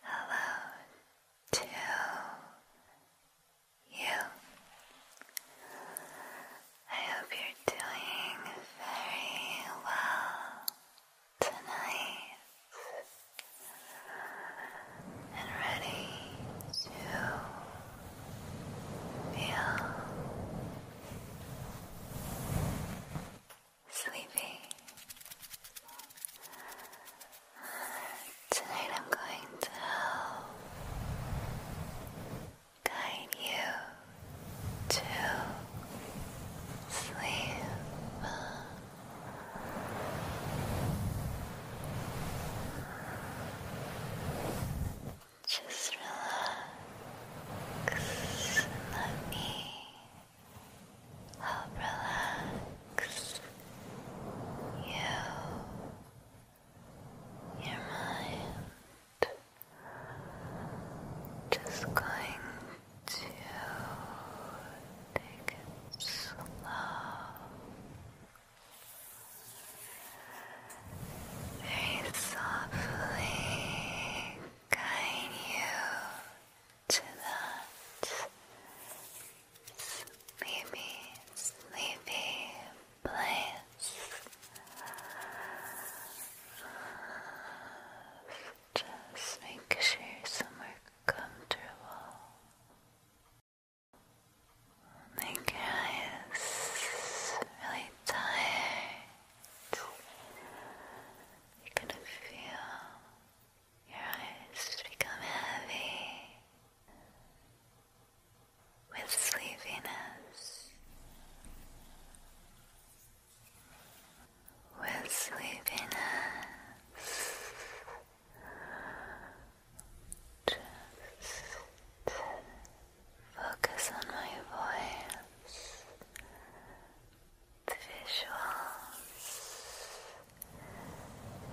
Hello to you. I hope you're doing very well tonight and ready to feel sleepy. Tonight I'm going to guide you to sleep. Just relax let me how relaxed you, your mind, just going to take it slow. Very softly guide you to that sleepy, sleepy place just make sure you're somewhere comfortable make really tired you're gonna feel your eyes become heavy with sleepiness, with sleepiness. Just focus on my voice the visuals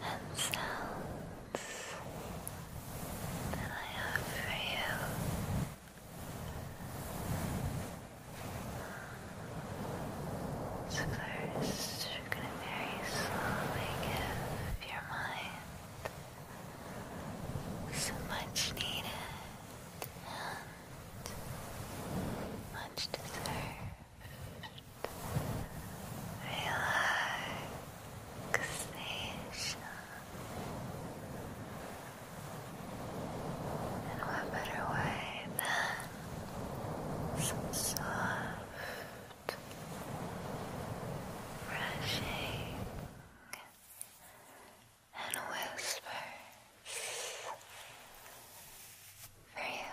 and sounds that I have for you. So first, you're going to very slowly give your mind some much needed much deserved relaxation. And what better way than soft brushing and whispers? for you.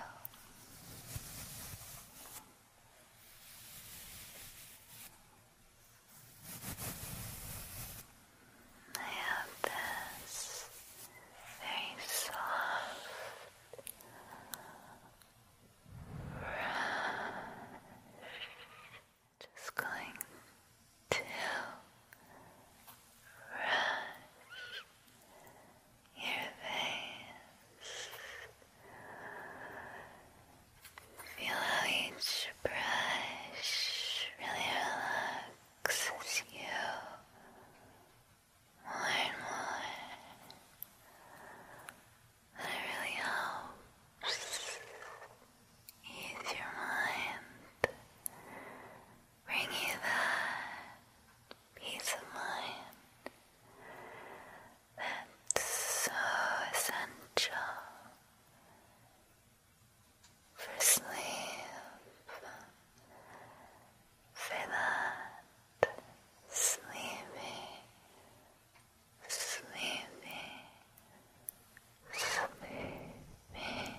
I have this very soft brush, just going to brush your face. Feel how each brush really relaxes you more and more. And really helps ease your mind bring you that peace of mind that's so essential for sleep, for that sleepy, sleepy, sleepy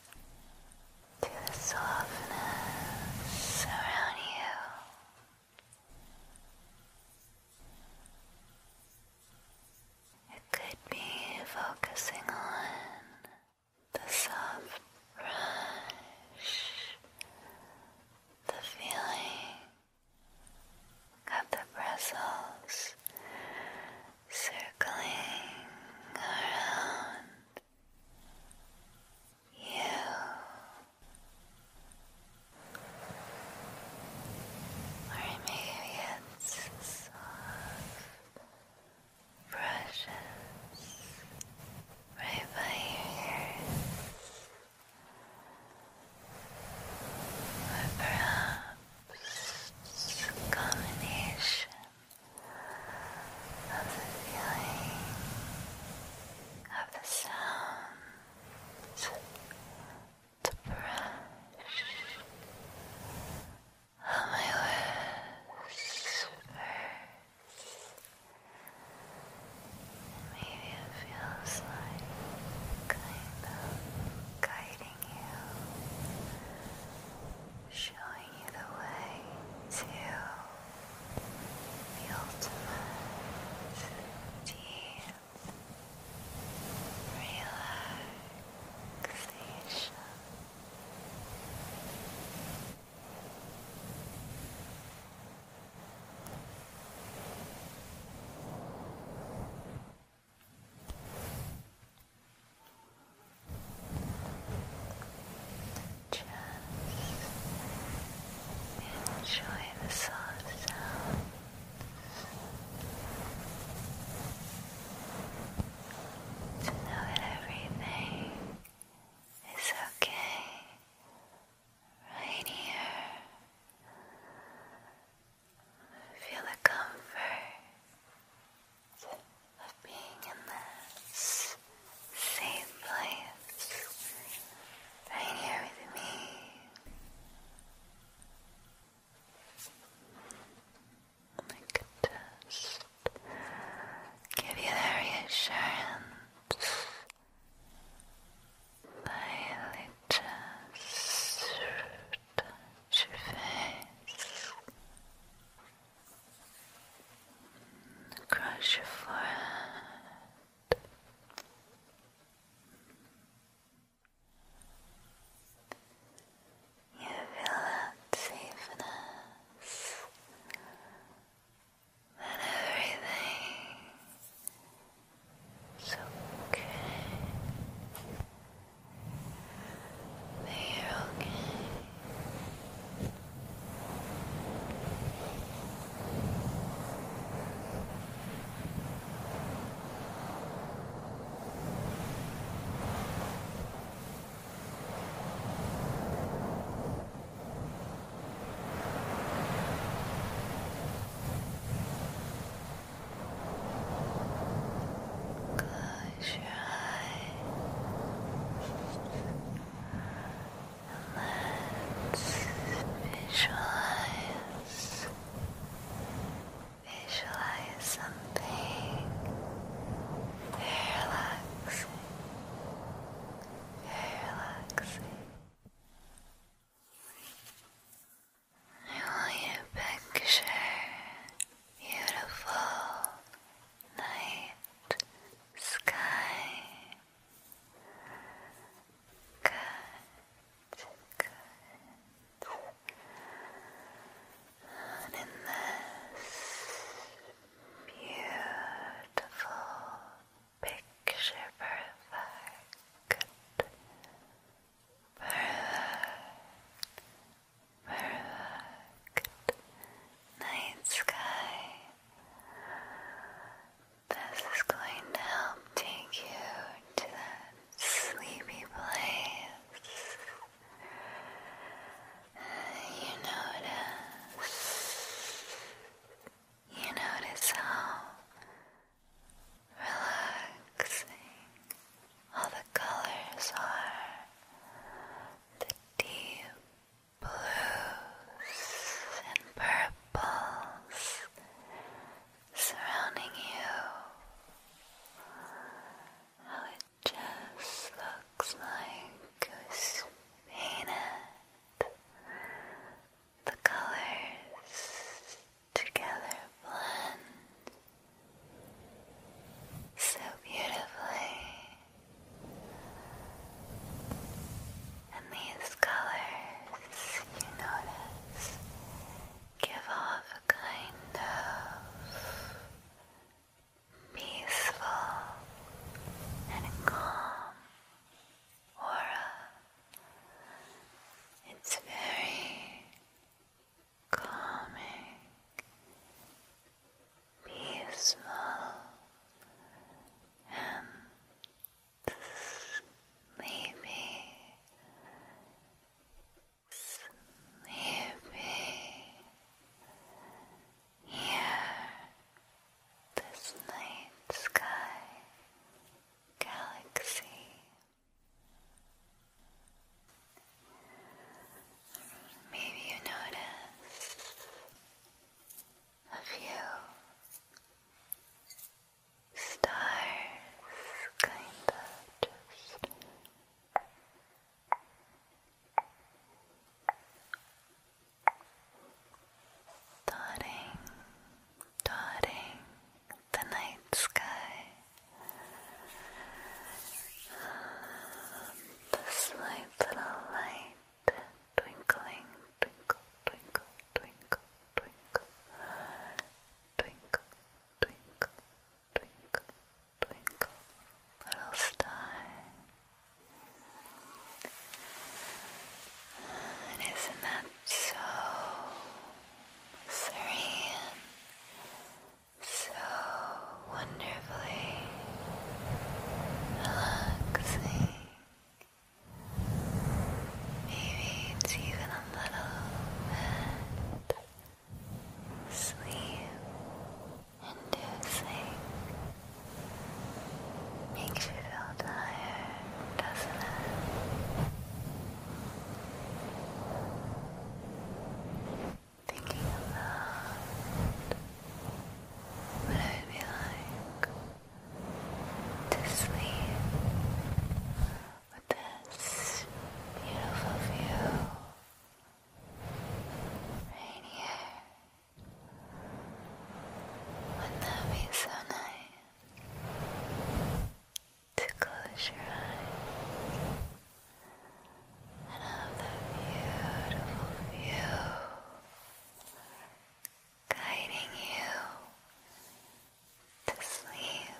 to the softness around you. It could be focusing on the soft brush, the feeling of the bristles circling around you. Or maybe it's soft brushes right by your ears. Or perhaps a of the feeling of the sounds, the brush of my whispers. Maybe it feels like kind of guiding you, showing you the way to the ultimate deep relaxation. Now just enjoy the soft sounds. To know that everything is okay right here. Feel the comfort of being in this safe place right here with me. I oh just give you the reassurance by just touch your Cross your forehead. You feel that safeness, that everything is okay that you okay. Good. Close let's visualize. Visualize something very relaxing. I want you to picture beautiful night sky. Good, good. in this beautiful picture perfect Perfect night sky. This is going to help take you to that sleepy place. You notice, you notice how relaxing all the colors are the deep blues and purples surrounding you. How it just looks like it painted. The colors together blend so beautifully. And these colors, you notice, give off a kind of peaceful and calm aura. It's very calming, peaceful, and sleepy, sleepy. Here, this night sky galaxy Maybe you notice a few stars kind of just dotting, dotting the night sky. The slight little light twinkling, twinkle, twinkle, twinkle, twinkle, twinkle, twinkle, twinkle, twinkle, little star. And isn't that so serene? so wonderfully relaxing. Maybe it's even a little bit sleep inducing. Makes you feel tired, doesn't it? thinking of that, what I be like to sleep with this beautiful view right here. Wouldn't that be so nice? To close your eyes and beautiful view guiding you to sleep.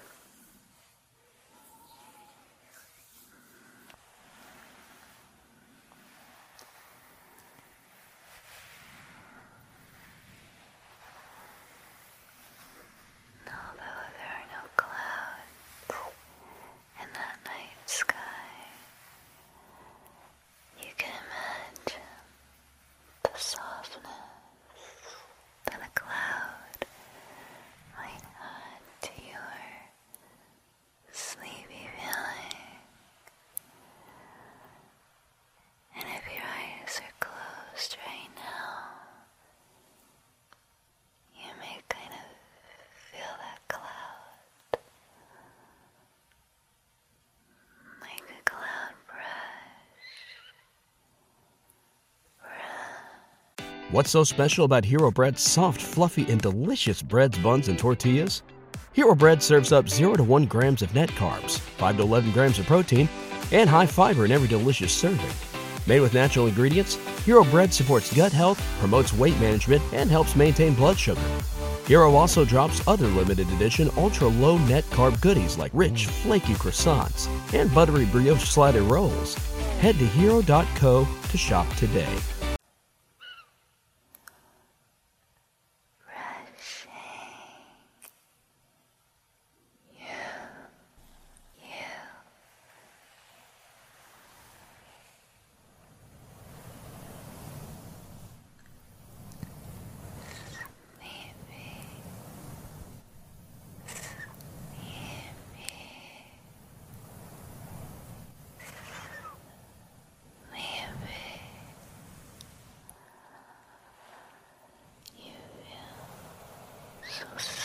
Although there are no clouds, in that night sky, you can imagine the softness that a cloud might add to your sleepy feeling. And if your eyes are closed right now, What's so special about Hero Bread's soft, fluffy, and delicious breads, buns, and tortillas? Hero Bread serves up 0 to 1 grams of net carbs, 5 to 11 grams of protein, and high fiber in every delicious serving. Made with natural ingredients, Hero Bread supports gut health, promotes weight management, and helps maintain blood sugar. Hero also drops other limited edition ultra low net carb goodies like rich, flaky croissants and buttery brioche slider rolls. Head to hero.co to shop today. Sleepy, sleepy, sleepy. You feel so sleepy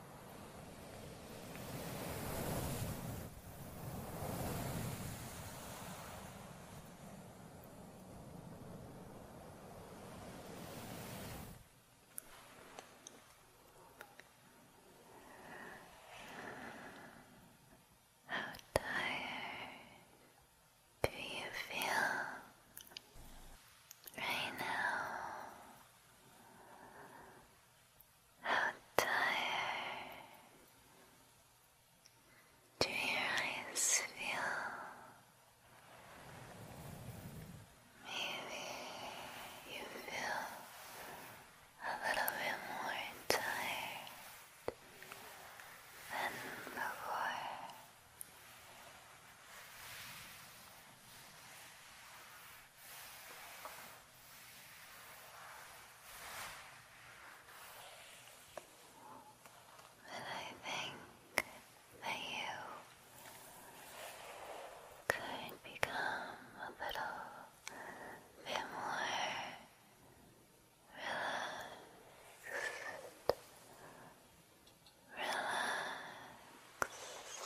how tired do you feel right now? How tired do your eyes feel? Maybe you feel a little bit more tired than before. But I think that you could become a little bit more relaxed relaxed,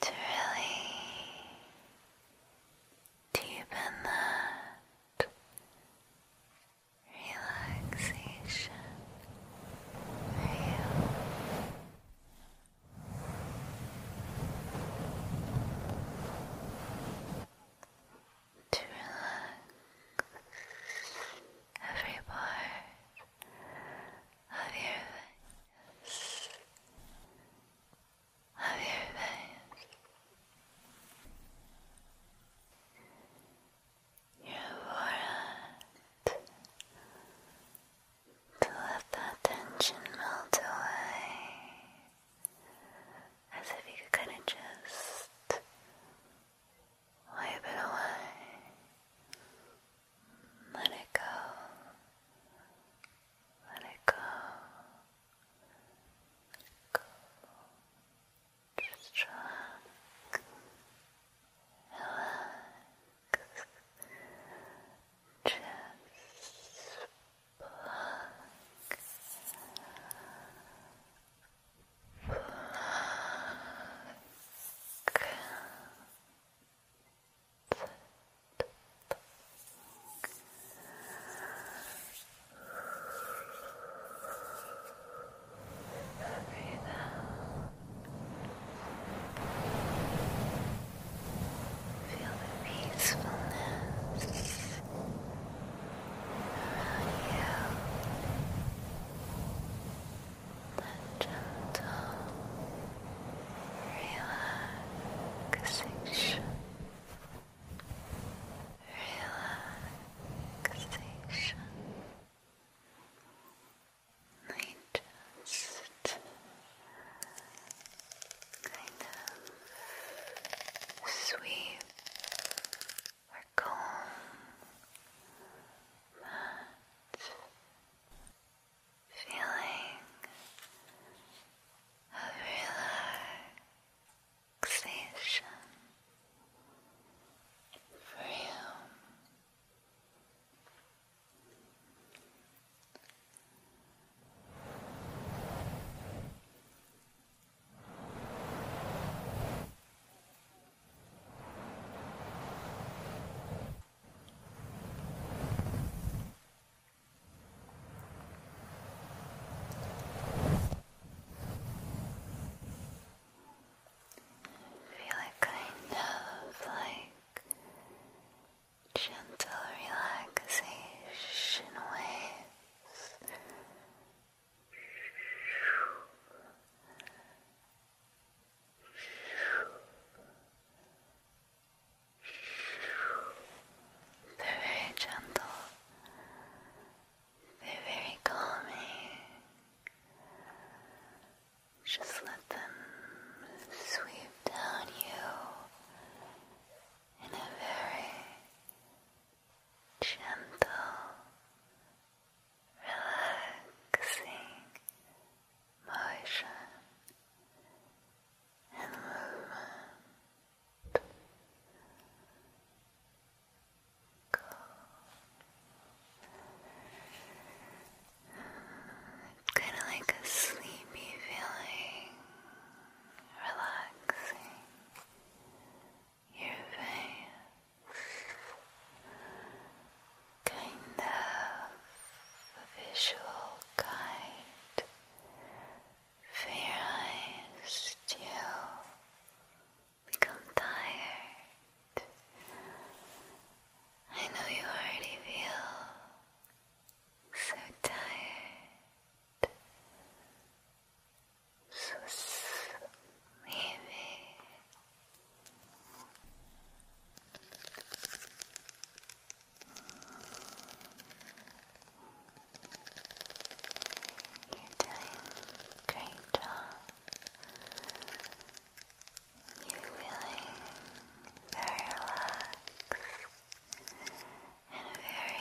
to really deepen that relaxation for To relax every part of your face, of your face. Your forehead to let that tension melt away as if you could kind of just Wipe it away. Let it go. Let it go. Let it go. Just relax. Relax. Just pluck. Feel the peacefulness around you a gentle relaxation. Relaxation. I just kind of sweep or calm that feeling of relaxation for you. Feel a kind of like gentle relaxation waves very gentle. very calming. Just let them sweep down you in a very gentle, relaxing motion and movement. kind of like a sleepy feeling, relaxing your face kind of visual guide for your eyes become tired. I know you already feel so tired, so sleepy. You're doing a great job. You're feeling very relaxed and very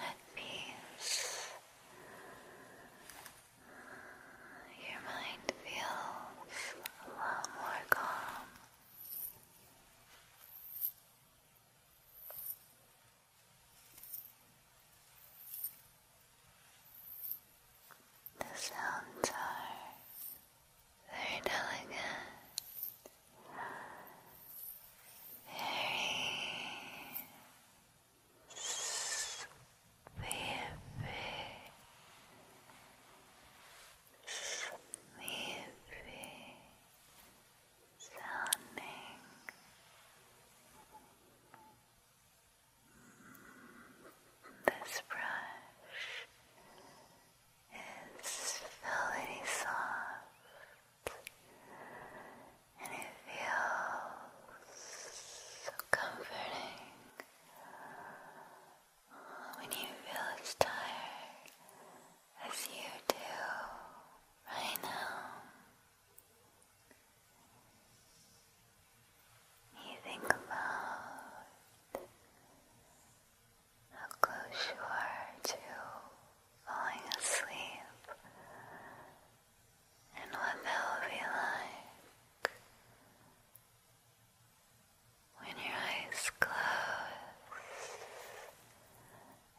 at peace. Your mind feels a lot more calm. The sounds are very delicate, very sleepy sounding this brush is very soft and it feels so comforting when you feel as tired as you do right now. You think about how close you are to falling asleep and what that will be like when your eyes close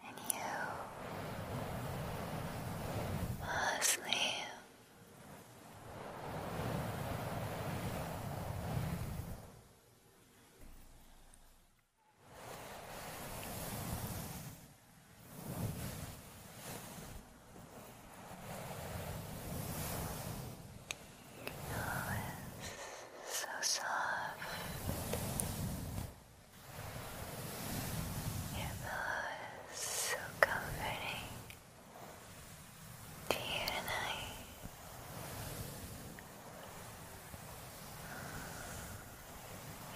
and you fall asleep. Oh, it's so soft. Your pillow is so comforting to you tonight.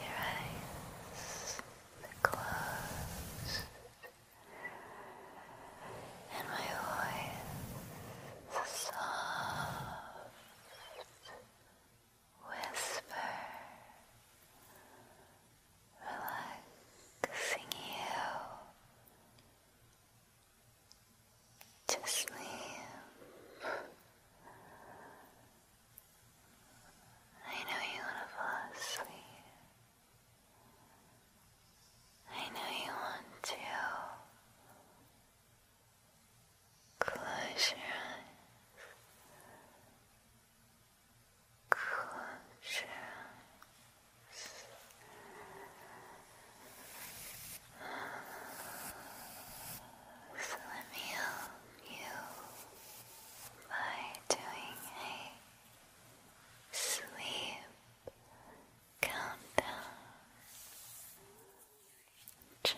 Your eyes are closed and my voice a soft whisper relaxing you to sleep. I know you want to fall asleep. I know you want to close your eyes. So let me help you by doing a sleep countdown just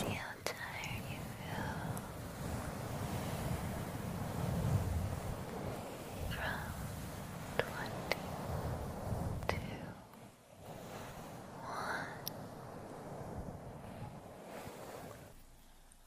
see how tired you feel from twenty two one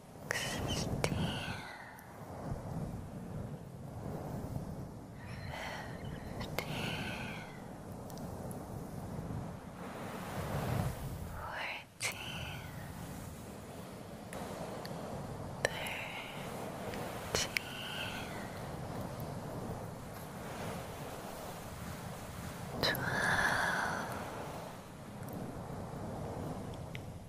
sixteen, fifteen, fourteen, thirteen, twelve.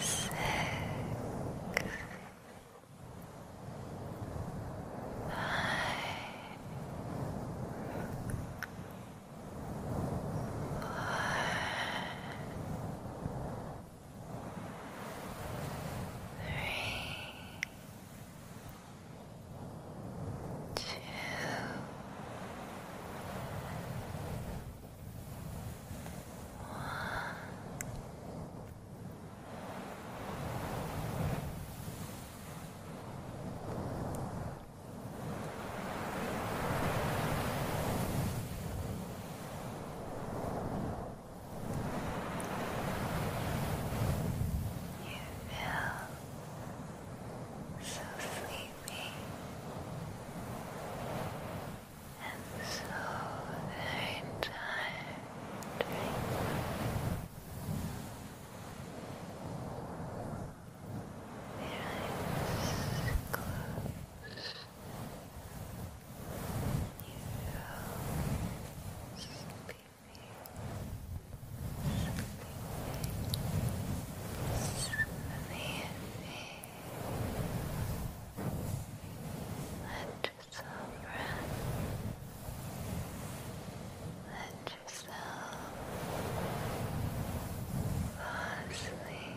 six, nine, one, three. Two, you feel so sleepy and so their entire Their eyes close. You feel sleepy. Sleepy. Sleepy. Let yourself rest. Let yourself fall asleep.